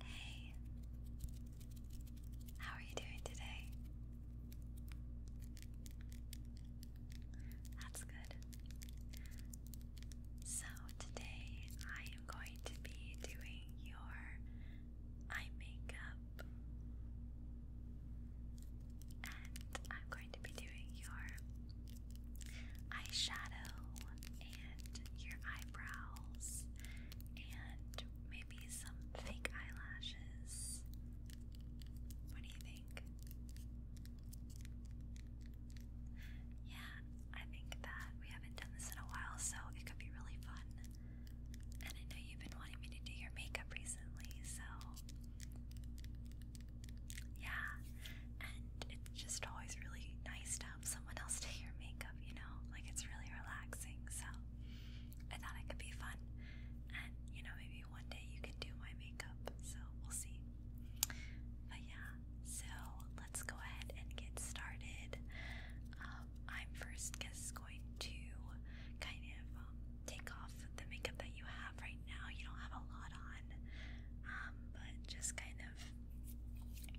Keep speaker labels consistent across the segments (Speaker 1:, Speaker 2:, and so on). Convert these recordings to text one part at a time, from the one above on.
Speaker 1: Hey, how are you doing today? That's good. So, today I am going to be doing your eye makeup, and I'm going to be doing your eyeshadow and your eyebrows and maybe some fake eyelashes. What do you think? Yeah, I think that we haven't done this in a while, so it could be really fun. And I know you've been wanting me to do your makeup recently, so yeah. And it's just always really nice stop someone else to hear makeup, you know? Like it's really relaxing. So I thought it could be fun. And you know, maybe one day you can do my makeup. So we'll see. But yeah, so let's go ahead and get started. Um, I'm first just going to kind of um, take off the makeup that you have right now. You don't have a lot on, um, but just kind of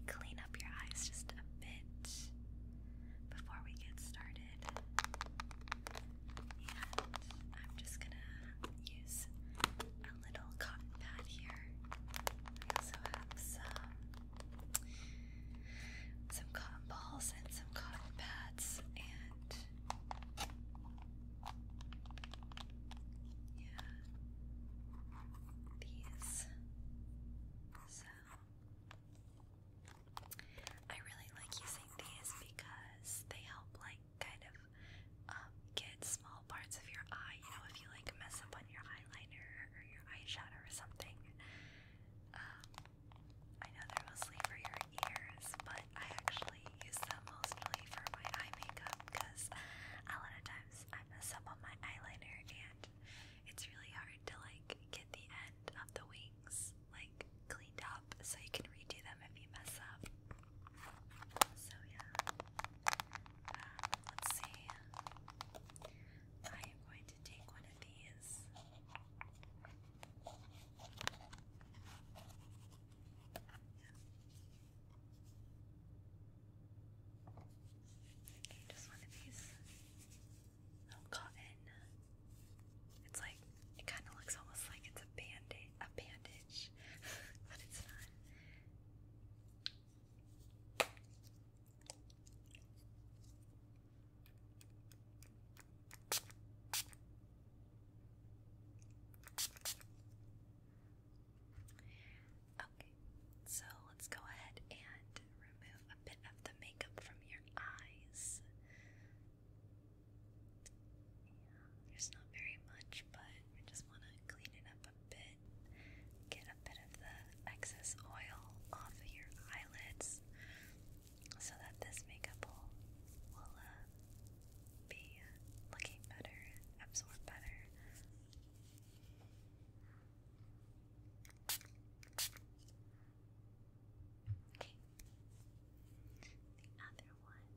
Speaker 1: clean up your eyes just a bit before we get started. I'm just gonna use a little cotton pad here. I also have some some cotton balls and some cotton pads and yeah these. So I really like using these because they help like kind of um, get small parts of your eye. You know, if you like mess up on your eyeliner or your eyeshadow or something. Um, I know they're mostly for your ears, but I actually use them mostly for my eye makeup because a lot of times I mess up on my eyeliner and it's really hard to like get the end of the wings like cleaned up so you can redo them if you mess up. So yeah. Um, let's see. I am going to take one of these. Just one of these cotton. It's like it kind of looks almost like it's a bandage, a bandage, but it's not. Okay, so let's go ahead and remove a bit of the makeup from your eyes. there's not very much, but we just want to clean it up a bit. Get a bit of the excess oil off of your eyelids so that this makeup will, will uh, be looking better, absorb better. Okay. The other one.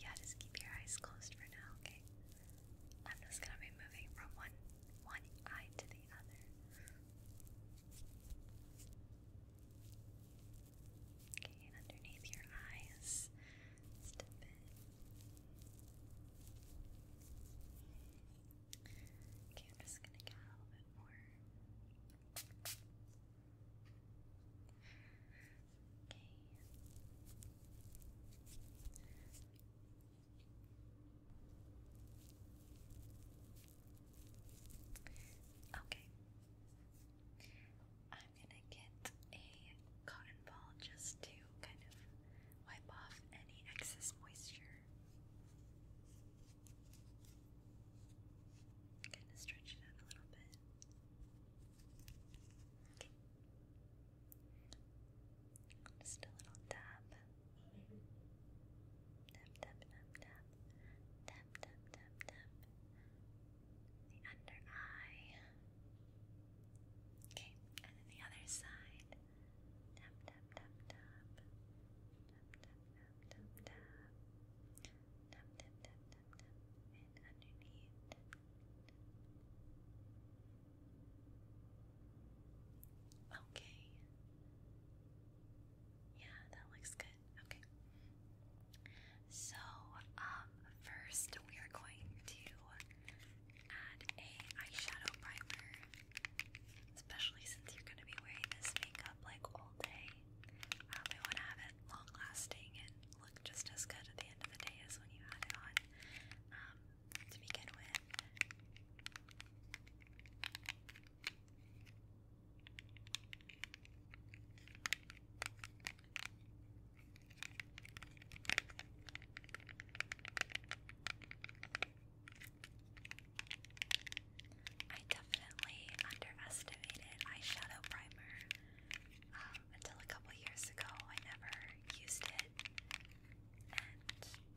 Speaker 1: Yeah, just keep your eyes closed for now, okay? I'm just gonna be moving from one one eye to the other. Okay, and underneath your eyes, Okay, I'm just gonna get a little bit more. Okay. Okay. I'm gonna get a cotton ball just to kind of wipe off any excess moisture. Kind of stretch it out a little bit. Just a little tap. Tap, tap, tap, tap. Tap, tap, tap, The under eye. Okay, and then the other side. Tap, tap, tap, tap. Tap, tap, tap, tap, tap. Tap, tap, tap, And underneath. Okay. Yeah, that looks good. Okay. So, um, first we are going to add a eyeshadow primer, especially since you're going to be wearing this makeup like all day. Um, we want to have it long lasting and look just as good at the end of the day as when you had it on. Um, to begin with. I definitely underestimated eyeshadow primer um, until a couple years ago. I never used it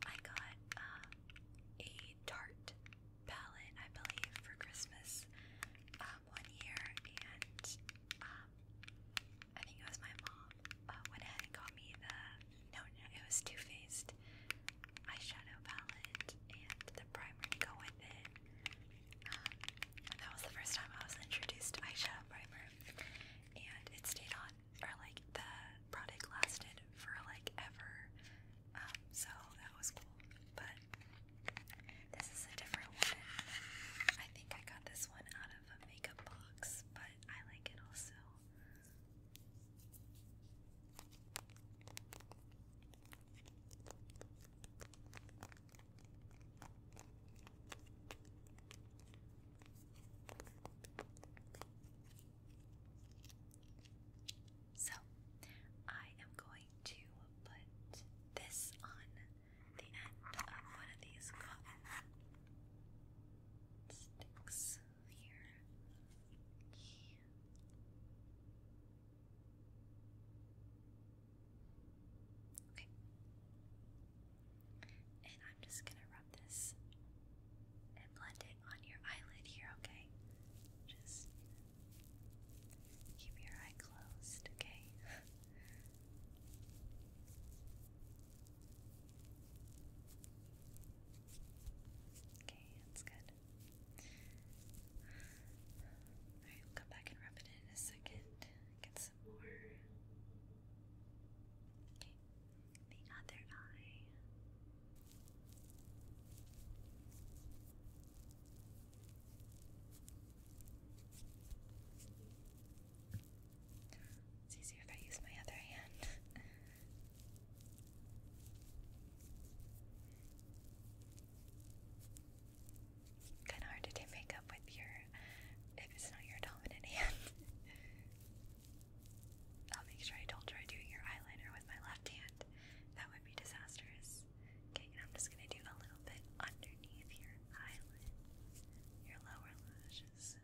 Speaker 1: I got uh, a tart palette, I believe, for Christmas um, one year. And um, I think it was my mom uh, went ahead and got me the no, no, it was Too Faced eyeshadow palette and the primer to go with it. Um, that was the first time I was introduced to eyeshadow primer, and it stayed on or like the product lasted for like ever. Um, so that was cool. But this is a different one. I think I got this one out of a makeup box, but I like it also. So, I am going to put this on the end of one of these cotton sticks here. Okay. And I'm just gonna rub this and blend it on your eyelid here, okay? Just keep your eye closed, okay? okay, that's good. Alright, we'll come back and rub it in, a second. Get some more. Okay the other eye. It's easier if I use my other hand. kind of hard to do makeup with your if it's not your dominant hand. I'll make sure I don't try doing your eyeliner with my left hand. That would be disastrous. Okay, and I'm just gonna do a little bit underneath your eyelid, your lower lashes,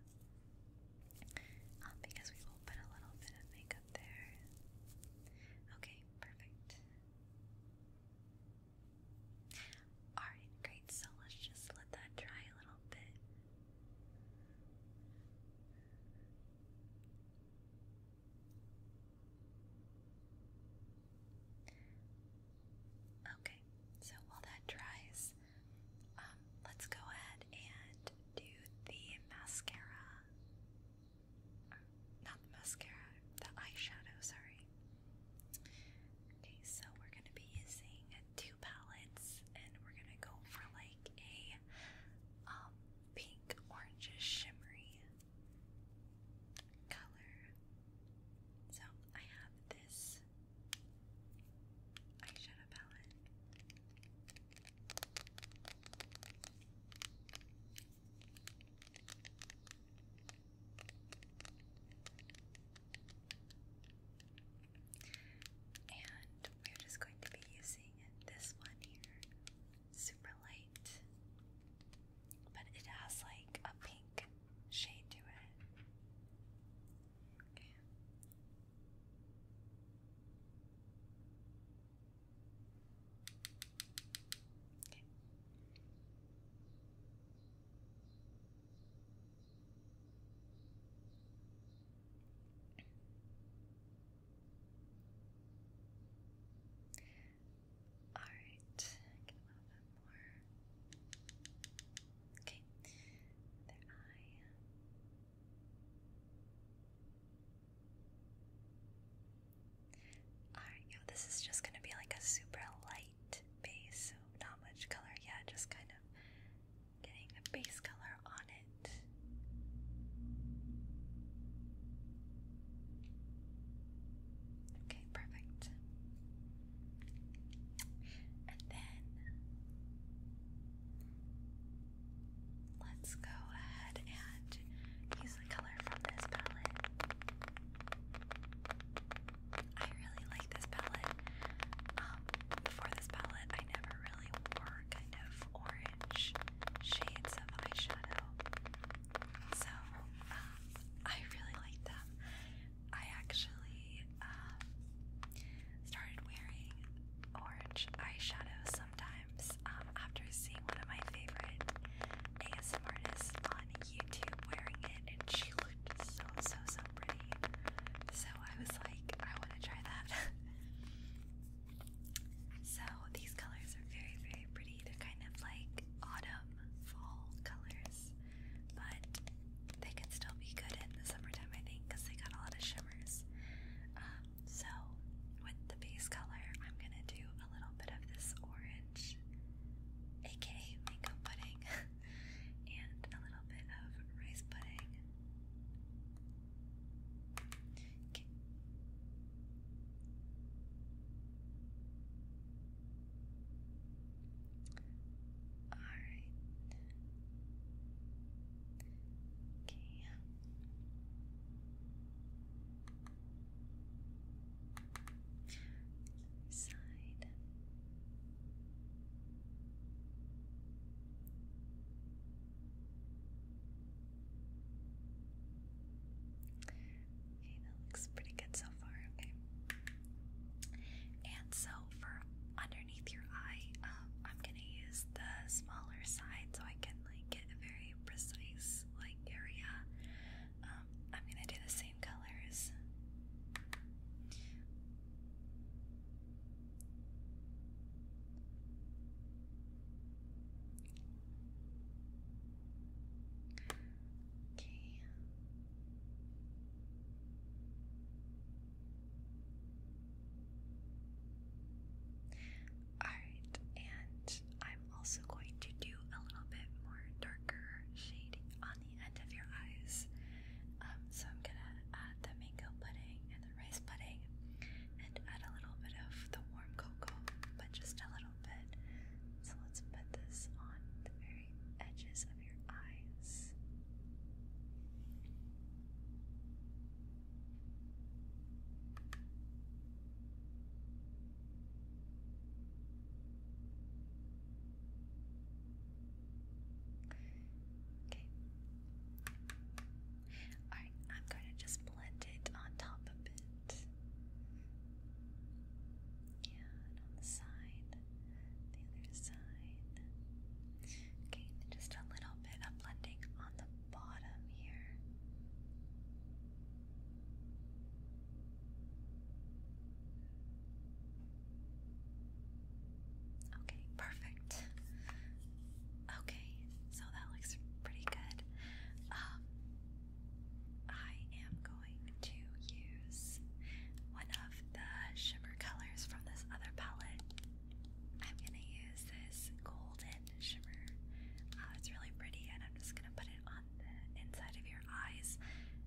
Speaker 1: um, because we will put a little bit of makeup there. Okay, perfect. Alright, great. So let's just let that dry a little bit. Okay, so while that dries, um, let's go ahead and do the mascara. not the mascara, the eyeshadow, sorry. Okay, so we're going to be using two palettes and we're gonna go for like a um pink orangish shimmery color. So I have this eyeshadow palette. And we're just going to be using this one here. Super light. But it has like a pink shade to it. Okay. All right, I a little bit more. Okay, their eye. Alright, yo, this is just gonna be like a super light base, so not much color yet, just kind of getting a base color on it. Okay, perfect. And then let's go ahead and use the color from this palette. I really like this palette. Um, before this palette, I never really wore kind of orange shades of eyeshadow. So um, I really like them. I actually um, started wearing orange eyeshadow sometimes um, after seeing one of my favorite ASM artists on YouTube wearing it, and she looked so so so pretty. So so I was like, I want to try that. so these colors are very, very pretty. They're kind of like autumn, fall colors, but they can still be good in the summertime, I think, because they got a lot of shimmers. Um, so with the base color, I'm gonna do a little bit of this orange, aka mango pudding, and a little bit of rice pudding. Okay. All right. Okay. Side. Okay, that looks pretty good so far. Okay. And so for underneath your eye, um, I'm gonna use the smaller side so I can like get a very precise like area. Um, I'm gonna do the same colors. Okay. Alright, and I'm also going to do a little bit more darker shading on the end of your eyes. Um, so I'm gonna add the mango pudding and rice pudding and add a little bit of the warm cocoa, but just a little bit. So let's put this on the very edges of your eyes. Okay. I'm going to just blend it on top of it. Yeah, on the side, the other side. Okay, just a little bit of blending on the bottom here. Okay, perfect. Okay, so that looks pretty good. Um, I am going to use one of the shimmer colors from this other palette. I'm going to use this golden shimmer. Uh, it's really pretty, and I'm just going to put it on the inside of your eyes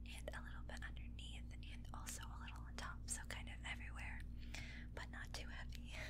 Speaker 1: and a little bit underneath, and also a little on top, so kind of everywhere, but not too heavy.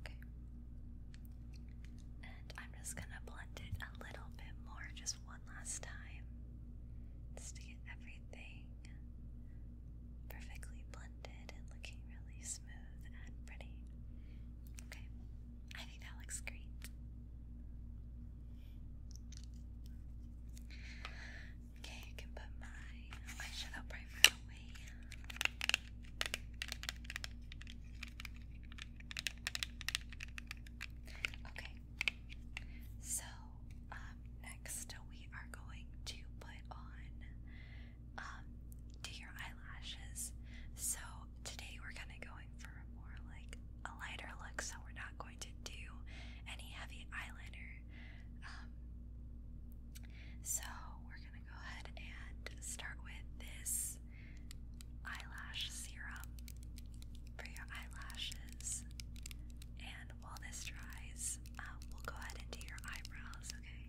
Speaker 1: Okay. And I'm just going to blend it a little bit more, just one last time, just to get everything perfectly blended and looking really smooth and pretty. Okay. I think that looks great. Okay, you can put my eyeshadow primer away. Okay, so um, next we are going to put on um, do your eyelashes. So today we're kind of going for more like a lighter look, so we're not going to do any heavy eyeliner. Um, so we're gonna go ahead and start with this eyelash serum for your eyelashes. And while this dries, uh, we'll go ahead and do your eyebrows, okay?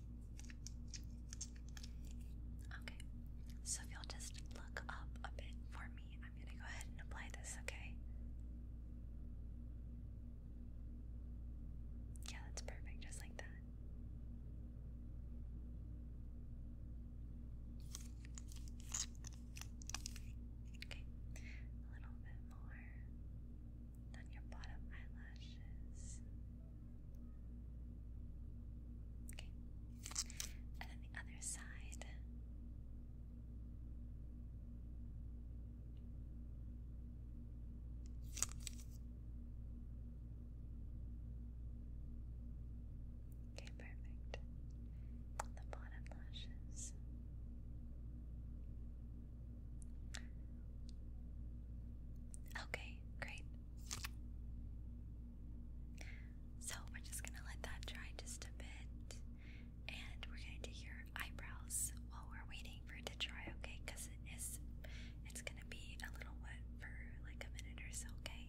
Speaker 1: Okay, so if you'll just look up a bit for me, I'm gonna go ahead and apply this, okay? Yeah, that's perfect, just like that. Okay, a little bit more on your bottom eyelashes. Okay. And then the other side. Okay, perfect. The bottom lashes. Okay, great. So we're just gonna let that dry just a bit, and we're gonna do your eyebrows while we're waiting for it to dry, okay? Because it is, it's gonna be a little wet for like a minute or so, okay?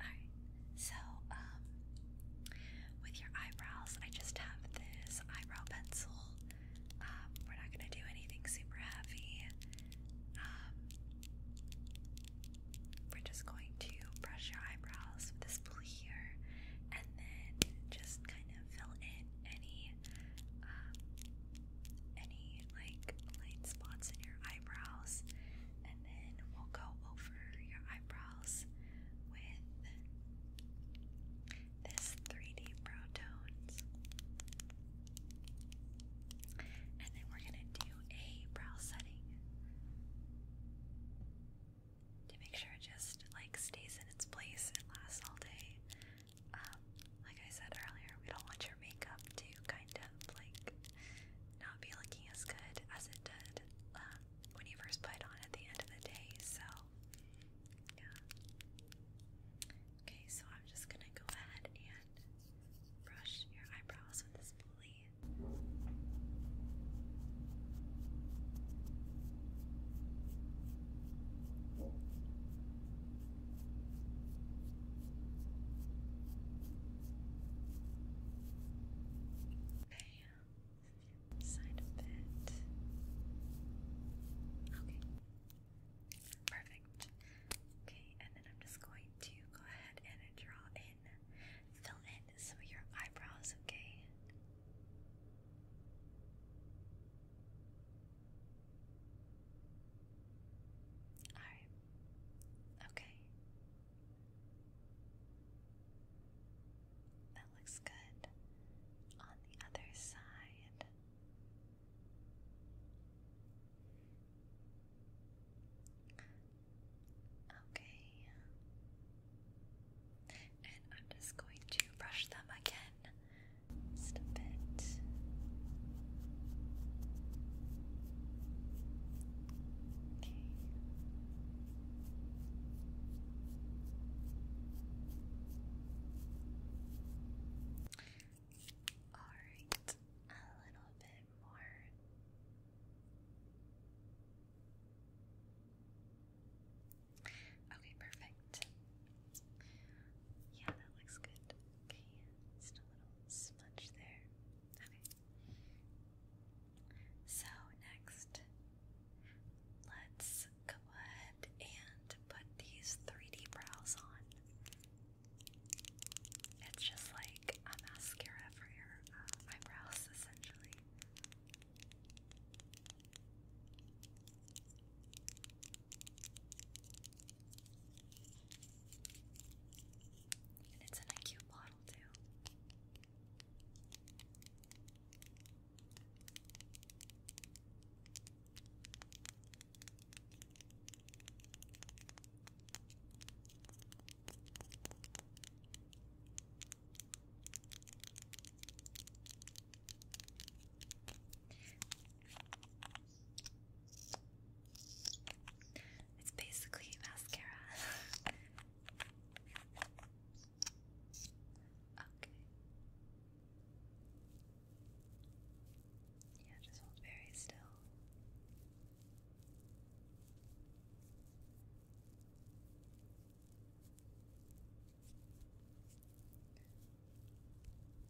Speaker 1: All right. So um, with your eyebrows, I just have this eyebrow pencil. Um, we're not gonna do anything super heavy. Um, we're just going to brush your eyebrows with this blue here and then just kind of fill in any um, any like light spots in your eyebrows and then we'll go over your eyebrows with this 3D Pro Tones and then we're going to do a brow setting to make sure it just like stays in its place and lasts all day. Um, like I said earlier, we don't want your makeup to kind of like not be looking as good as it did um, when you first put it on at the end of the day. So, Okay, so I'm just gonna go ahead and brush your eyebrows with this pulley. Okay, side of it. Okay, Perfect. Okay, and then I'm just going to go ahead and draw in, fill in some of your eyebrows, okay? Alright. Okay. That looks good. On the other side. Okay. And I'm just going to brush them again just a bit. Okay. All right, a little bit Okay, perfect. Yeah, that looks good. Okay, just a little smudge there. Okay. So, next, let's go ahead and put these 3D brows on. It's just like a mascara for your uh, eyebrows, essentially. And it's in a cute bottle, too. It's basically mascara. okay. Yeah, just hold very still.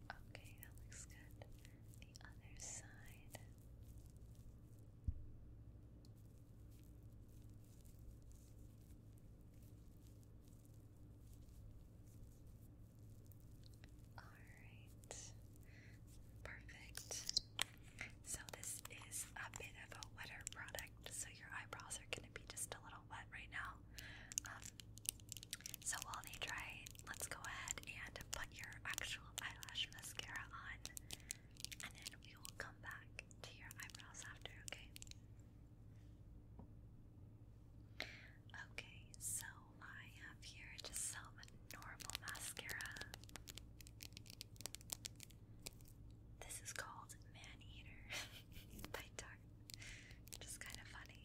Speaker 1: Okay, that looks good. The other side. Alright, perfect. So, this is a bit of a wetter product, so your eyebrows are going to be just a little wet right now. Um, so, while they dry, let's go ahead and put your actual eyelash mascara on, and then we will come back to your eyebrows after, okay? Okay, so I have here just some normal mascara. This is called Man Eater by Tarte. Just kind of funny.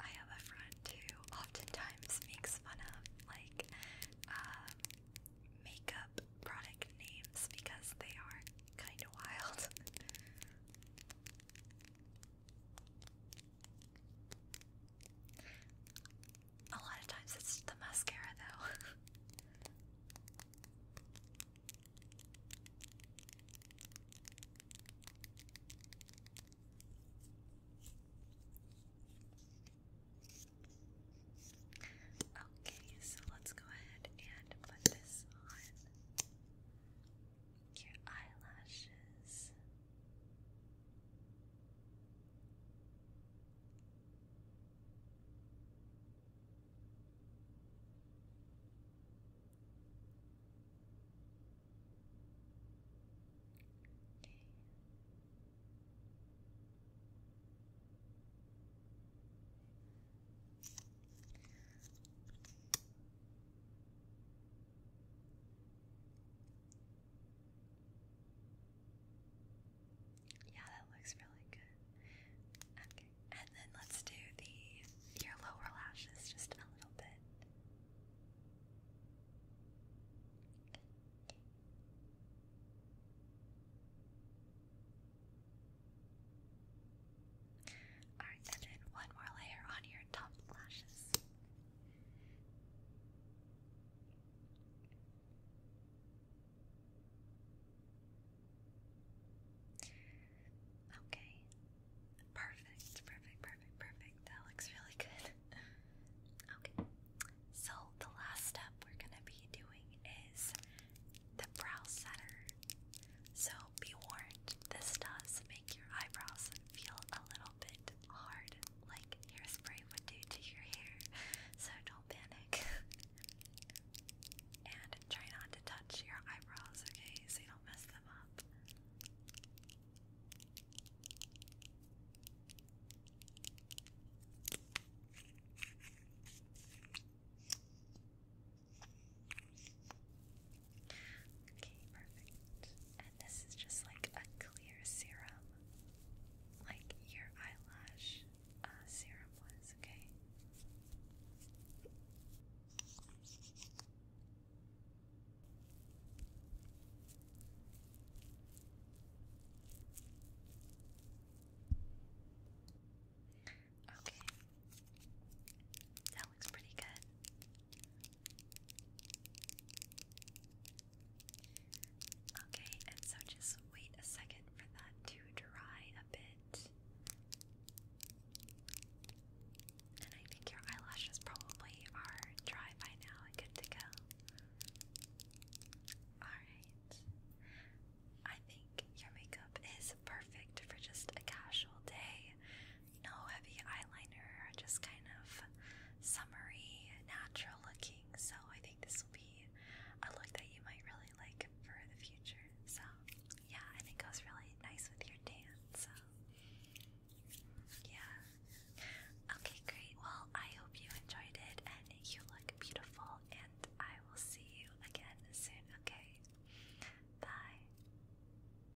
Speaker 1: I have a friend who oftentimes makes fun of like um, makeup product names because they are kind of wild. A lot of times it's the mascara though. Okay, so let's go ahead and put this on your eyelashes. Okay. Yeah, that looks really good. Okay, and then let's do the your lower lashes just a little bit. Alright, and then one more layer on your top lashes. Okay. Perfect, perfect, perfect, perfect. That looks really good. okay. So the last step we're gonna be doing is the brow setter. So be warned, this does your eyebrows feel a little bit hard, like hairspray would do to your hair. So don't panic. and try not to touch your eyebrows, okay? So you don't mess them up. Okay, perfect. And this is just like a clear serum, like your eyelash uh, serum was, okay? Okay looks pretty good. Okay, and so just wait a second for that to dry a bit. And I think your eyelashes probably are dry by now and good to go. Alright. I think your makeup is perfect for just a casual day no heavy eyeliner, just kind of summery, natural looking. So I think this will be a look that you might really like for the future. So yeah, and it goes really nice with your dance. So yeah. Okay, great. Well, I hope you enjoyed it and you look beautiful and I will see you again soon, okay? Bye.